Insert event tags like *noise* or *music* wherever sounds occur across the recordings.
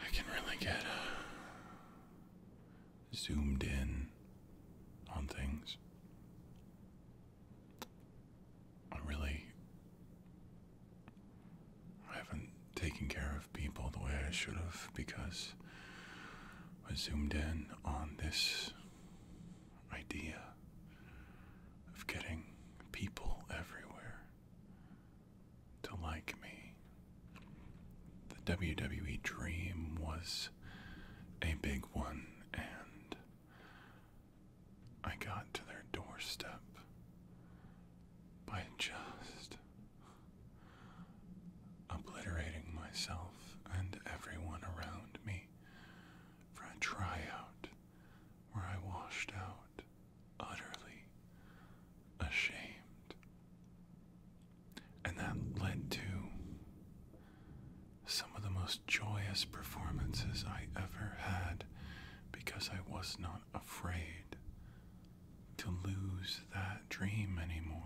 I can really get uh, zoomed in on things. I really I haven't taken care of people the way I should have because I zoomed in on this idea of getting people everywhere to like me. The WWE dream was a big one, and I got to their doorstep by just obliterating myself and everyone around me for a tryout where I washed out utterly ashamed. And that led to some of the most joyous performances I ever had because I was not afraid to lose that dream anymore.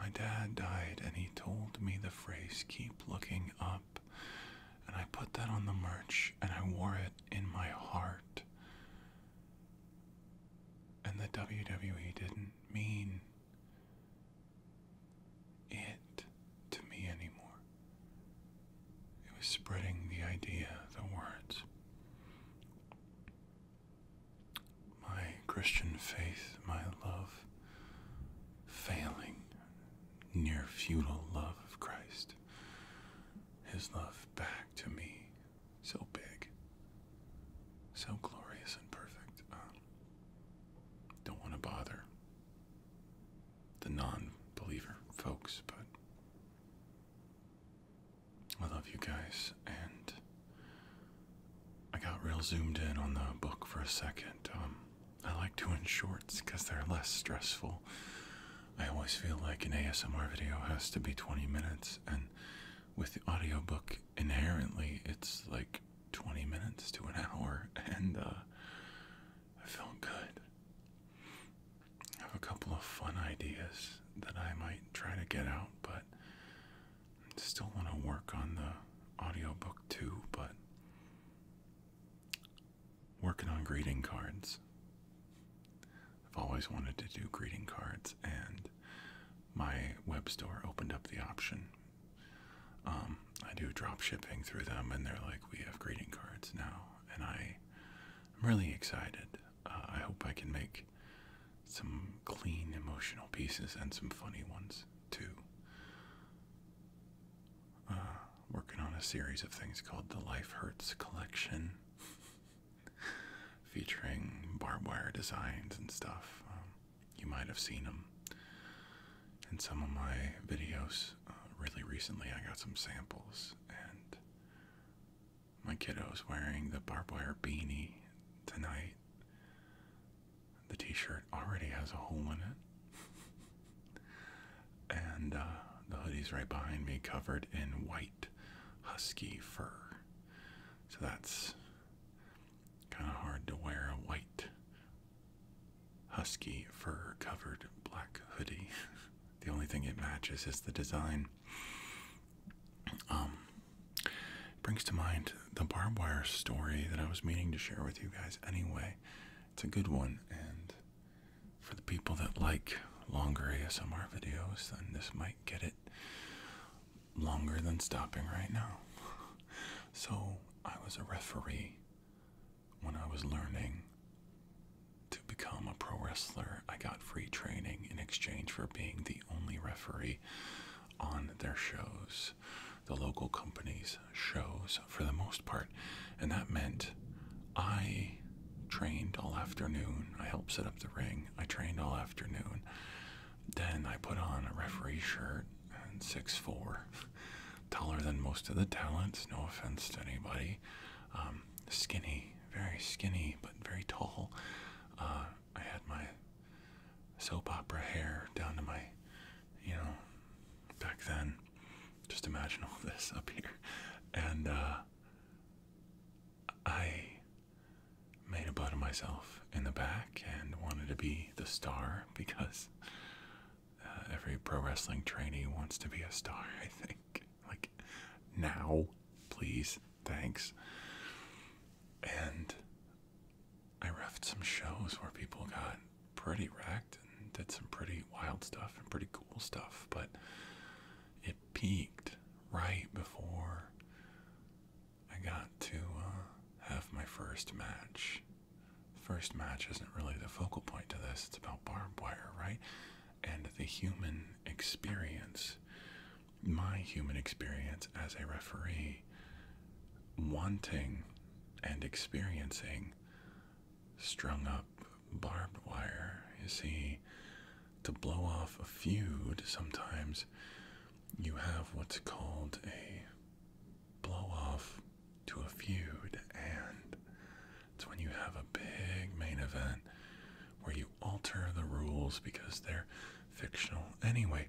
My dad died and he told me the phrase, keep looking up, and I put that on the merch and I wore it in my heart. And the WWE didn't mean it to me anymore. It was spreading the idea, the words. My Christian faith, my love, failing, near futile love of Christ his love back to me. So big, so glorious and perfect. Um, don't want to bother the non believer folks, but I love you guys. And I got real zoomed in on the book for a second. Um, I like doing shorts because they're less stressful I always feel like an ASMR video has to be 20 minutes, and with the audiobook, inherently, it's like 20 minutes to an *laughs* hour, and uh, I felt good. I have a couple of fun ideas that I might try to get out, but I still want to work on the audiobook too, but working on greeting cards. I've always wanted to do greeting cards, and my web store opened up the option. Um, I do drop shipping through them, and they're like, we have greeting cards now, and I, am really excited. Uh, I hope I can make some clean emotional pieces and some funny ones too. Uh, working on a series of things called the Life Hurts Collection. *laughs* featuring barbed wire designs and stuff. Um, you might have seen them in some of my videos. Uh, really recently, I got some samples, and my kiddo's wearing the barbed wire beanie tonight. The t shirt already has a hole in it. *laughs* and uh, the hoodie's right behind me covered in white husky fur. So that's kind of hard to wear a white husky fur covered black hoodie. *laughs* the only thing it matches is the design. Um, brings to mind the barbed wire story that I was meaning to share with you guys anyway. It's a good one, and for the people that like longer ASMR videos, then this might get it longer than stopping right now. So, I was a referee when I was learning to become a pro wrestler. I got free training in exchange for being the only referee on their shows, the local companies' shows for the most part. And that meant I trained all afternoon. I helped set up the ring. I trained all afternoon. Then I put on a referee shirt and six four, *laughs* taller than most of the talents, no offense to anybody. Um, skinny, very skinny, but very tall. Uh, I had my soap opera hair down to my, you know, back then. Just imagine all *laughs* this up here. And, uh, I made a butt of myself in the back and wanted to be the star because uh, every pro wrestling trainee wants to be a star, I think. Like, now, please, thanks. And I refed some shows where people got pretty wrecked and did some pretty wild stuff and pretty cool stuff, but. It peaked right before I got to uh, have my first match. First match isn't really the focal point to this, it's about barbed wire, right? And the human experience. My human experience as a referee, wanting and experiencing strung up barbed wire, you see, to blow off a feud, sometimes you have what's called a blow off to a feud, and it's when you have a big main event where you alter the rules because they're fictional anyway.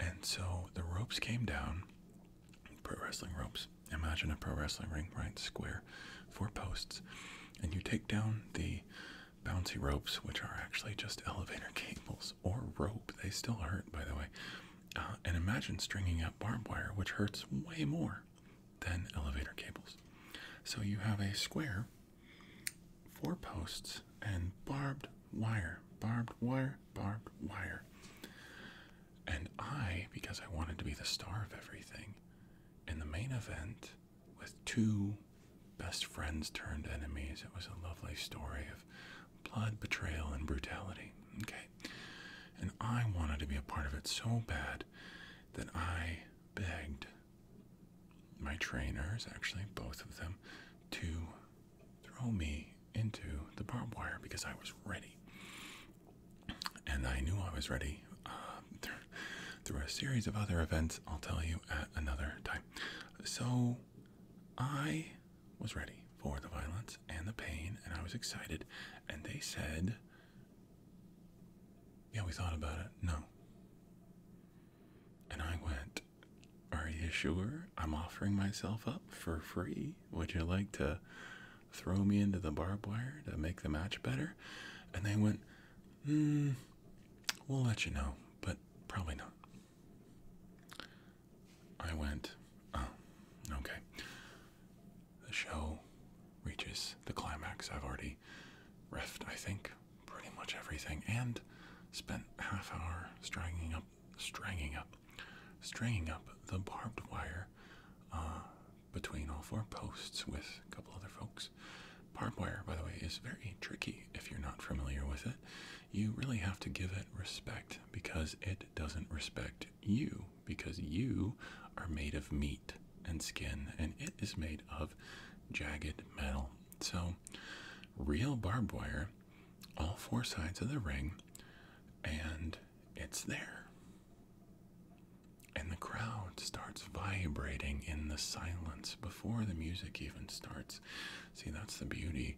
And so the ropes came down, pro wrestling ropes. Imagine a pro wrestling ring, right? Square four posts, and you take down the bouncy ropes, which are actually just elevator *laughs* cables or rope. They still hurt, by the way. Uh, and imagine stringing up barbed wire, which hurts way more than elevator cables. So you have a square, four posts, and barbed wire, barbed wire, barbed wire. And I, because I wanted to be the star of everything, in the main event, with two best friends turned enemies. It was a lovely story of blood, betrayal, and brutality. Okay. And I wanted to be a part of it so bad that I begged my trainers, actually, both of them, to throw me into the barbed wire because I was ready. And I knew I was ready. Um, through a series of other events I'll tell you at another time. So, I was ready for the violence and the pain, and I was excited. And they said, Yeah, we thought about it. No. And I went, Are you sure? I'm offering myself up for free. Would you like to throw me into the barbed wire to make the match better? And they went, Mm, we'll let you know, but probably not. I went, oh, okay. The show reaches the climax. I've already refed, I think, pretty much everything, and spent half hour strangling up, strangling up, strangling up the barbed wire uh, between all four posts with a couple other folks. Barbed wire, by the way, is very tricky if you're not familiar with it. You really have to give it respect because it doesn't respect you, because you are made of meat and skin, and it is made of jagged metal. So, real barbed wire, all four sides of the ring, and it's there. And the crowd starts vibrating in the silence before the music even starts. See, that's the beauty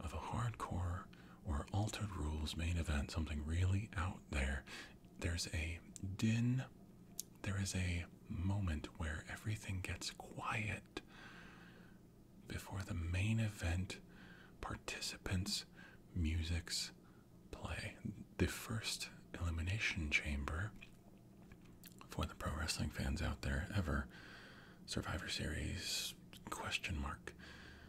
of a hardcore or altered rules main event, something really out there. There's a din, there is a moment where everything gets quiet before the main event participants' music's play. The first elimination chamber for the pro wrestling fans out there ever. Survivor Series question mark.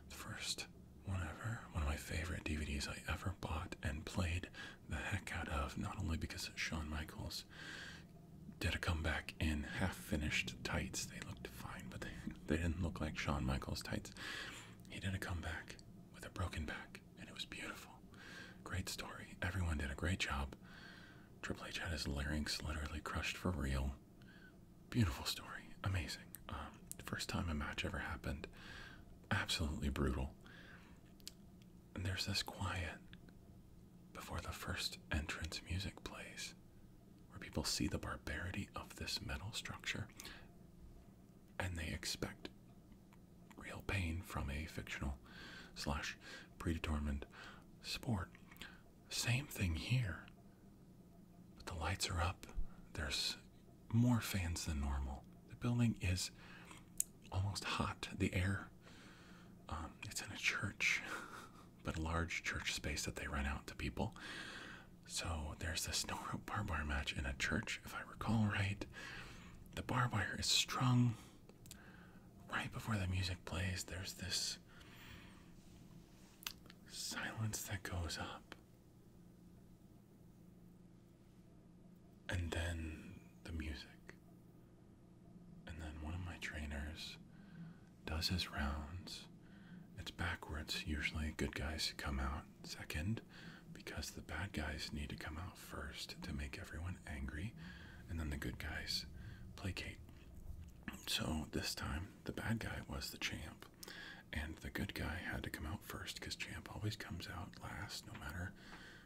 The first one ever. One of my favorite DVDs I ever bought and played the heck out of, not only because Shawn Michaels did a comeback in half finished tights. They looked fine, but they, they didn't look like Shawn Michaels tights. He did a comeback with a broken back and it was beautiful. Great story. Everyone did a great job. Triple H had his larynx literally crushed for real. Beautiful story. Amazing. Um, first time a match ever happened. Absolutely brutal. And there's this quiet before the first entrance music plays where people see the barbarity of this metal structure and they expect real pain from a fictional slash predetermined sport. Same thing here. But the lights are up. There's more fans than normal. The building is almost hot. The air, um, it's in a church, *laughs* but a large church space that they rent out to people. So there's this no rope barbed wire match in a church, if I recall right. The barbed wire is strung right before the music plays, there's this silence that goes up. And then the music. And then one of my trainers does his rounds. It's backwards. Usually, good guys come out second because the bad guys need to come out first to make everyone angry and then the good guys placate. So this time the bad guy was the champ and the good guy had to come out first because champ always comes out last no matter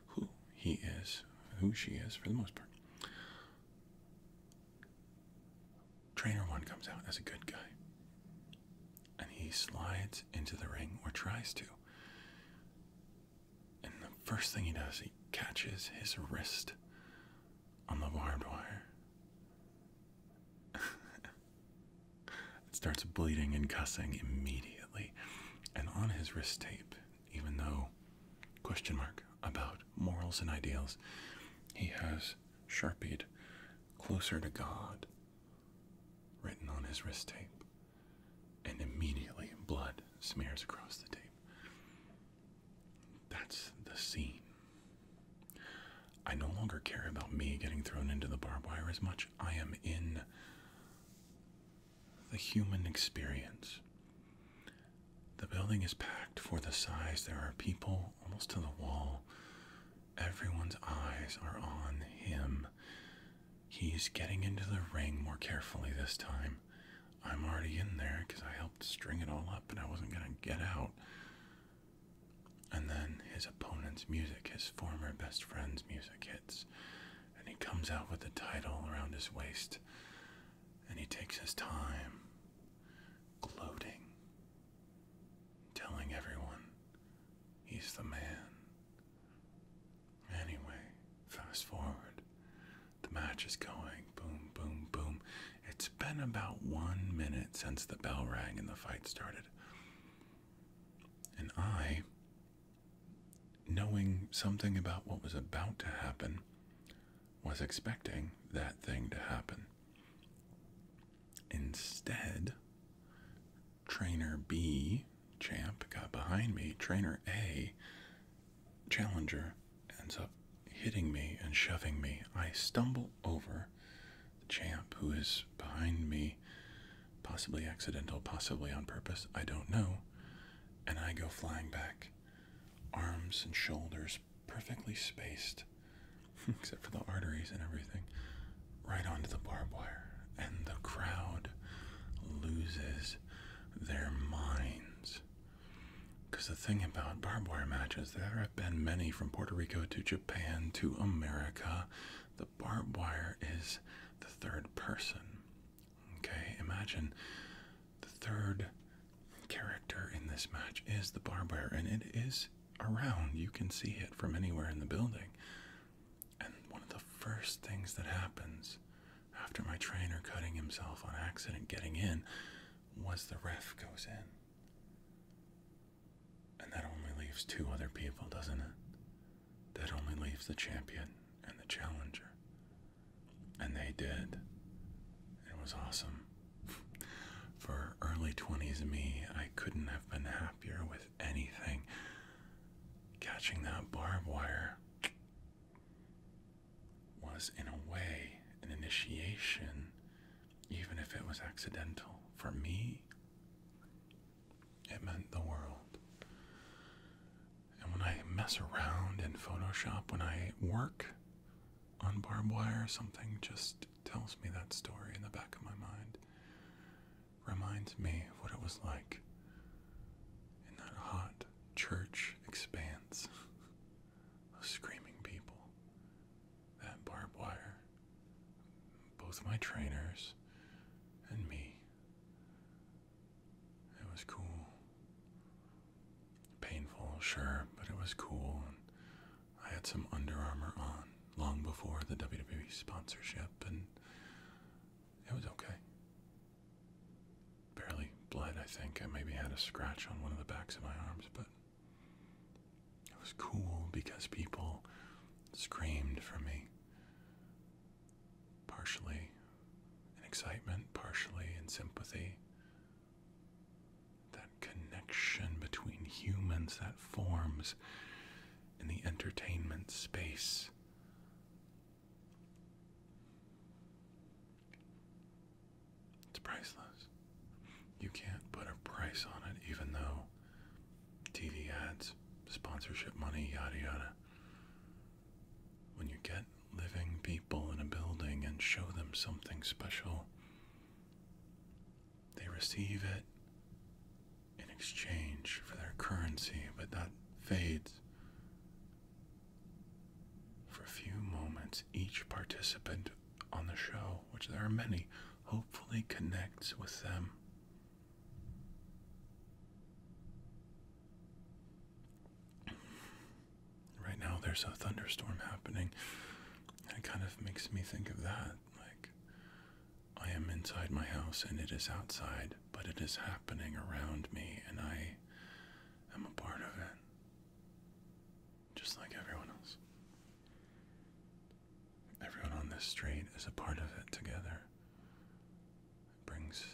who he is, who she is for the most part. Trainer one comes out as a good guy and he slides into the ring or tries to. And the first thing he does, he catches his wrist on the barbed wire. *laughs* it starts bleeding and cussing immediately. And on his wrist tape, even though question mark about morals and ideals, he has sharpied closer to God written on his wrist tape and immediately blood smears across the tape. That's the scene. I no longer care about me getting thrown into the barbed wire as much. I am in the human experience. The building is packed for the size. There are people almost to the wall. Everyone's eyes are on him. He's getting into the ring more carefully this time. I'm already in there because I helped string it all up and I wasn't going to get out. And then his opponent's music, his former best friend's music hits. And he comes out with the title around his waist. And he takes his time, gloating, telling everyone he's the man. Anyway, fast forward. The match is going. Boom, boom, boom. It's been about one minute since the bell rang and the fight started. And I, knowing something about what was about to happen, was expecting that thing to happen. Instead, Trainer B Champ got behind me. Trainer A, Challenger, ends up hitting me and shoving me. I stumble over the champ who is behind me, possibly accidental, possibly on purpose, I don't know. And I go flying back, arms and shoulders perfectly spaced, *laughs* except for the arteries and everything, right onto the barbed wire. And the crowd loses their minds. Because the thing about barbed wire matches, there have been many from Puerto Rico to Japan to America. The barbed wire is the third person. Okay, imagine the third character in this match is the barbed wire, and it is around. You can see it from anywhere in the building. And one of the first things that happens after my trainer cutting himself on accident getting in was the ref goes in. And that only leaves two other people, doesn't it? That only leaves the champion and the challenger. And they did. It was awesome. *laughs* For early 20s me, I couldn't have been happier with anything. Catching that barbed wire was, in a way, an initiation, even if it was accidental. For me, it meant the world. And when I mess around in Photoshop, when I work on barbed wire, something just tells me that story in the back of my mind. Reminds me of what it was like in that hut church expanse of screaming people. That barbed wire, both my trainers and me. It was cool. Painful, sure, but it was cool. And I had some Under Armour on long before the WWE sponsorship, and it was okay. Barely bled, I think. I maybe had a scratch on one of the backs of my arms, but it was cool because people screamed for me. Partially in excitement, partially in sympathy. That connection between humans that forms in the entertainment space it's priceless. You can't put a price on it, even though TV ads, sponsorship money, yada yada. When you get living people in a building and show them something special, they receive it in exchange for their currency, but that fades for a few moments, each participant on the show, which there are many, hopefully connects with them. Right now, there's a thunderstorm happening. It kind of makes me think of that. Like, I am inside my house and it is outside, but it is happening around me, and I i am a part of it, just like everyone else. Everyone on this street is a part of it together. It brings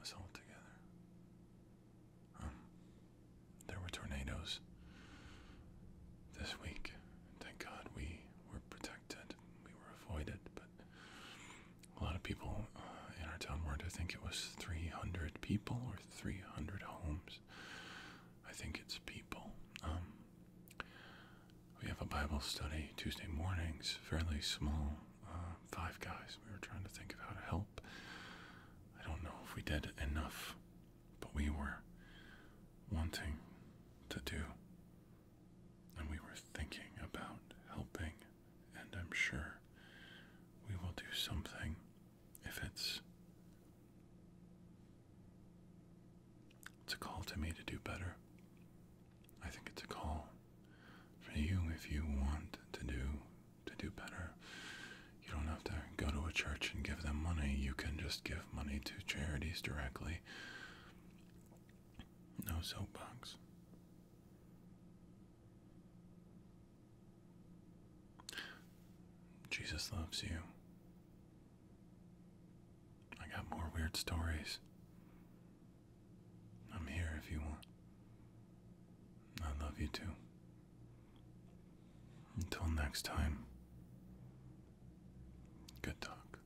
us all together. Um, there were tornadoes this week. Thank God we were protected. We were avoided, but a lot of people in our town weren't. I think it was 300 people or 300 homes. I think it's people. Um, we have a Bible study Tuesday mornings, fairly small. Uh, five guys. We were trying to think of how to help. I don't know if we did enough, but we were wanting to do. And we were thinking about helping and I'm sure we will do something if it's a call to me to do better. I think it's a call for you if you want to do to do better. You don't have to go to a church and give them money. You can just give money to charities directly. No soapbox. Jesus loves you. I got more weird stories. I'm here if you want. I love you too. Until next time, good talk.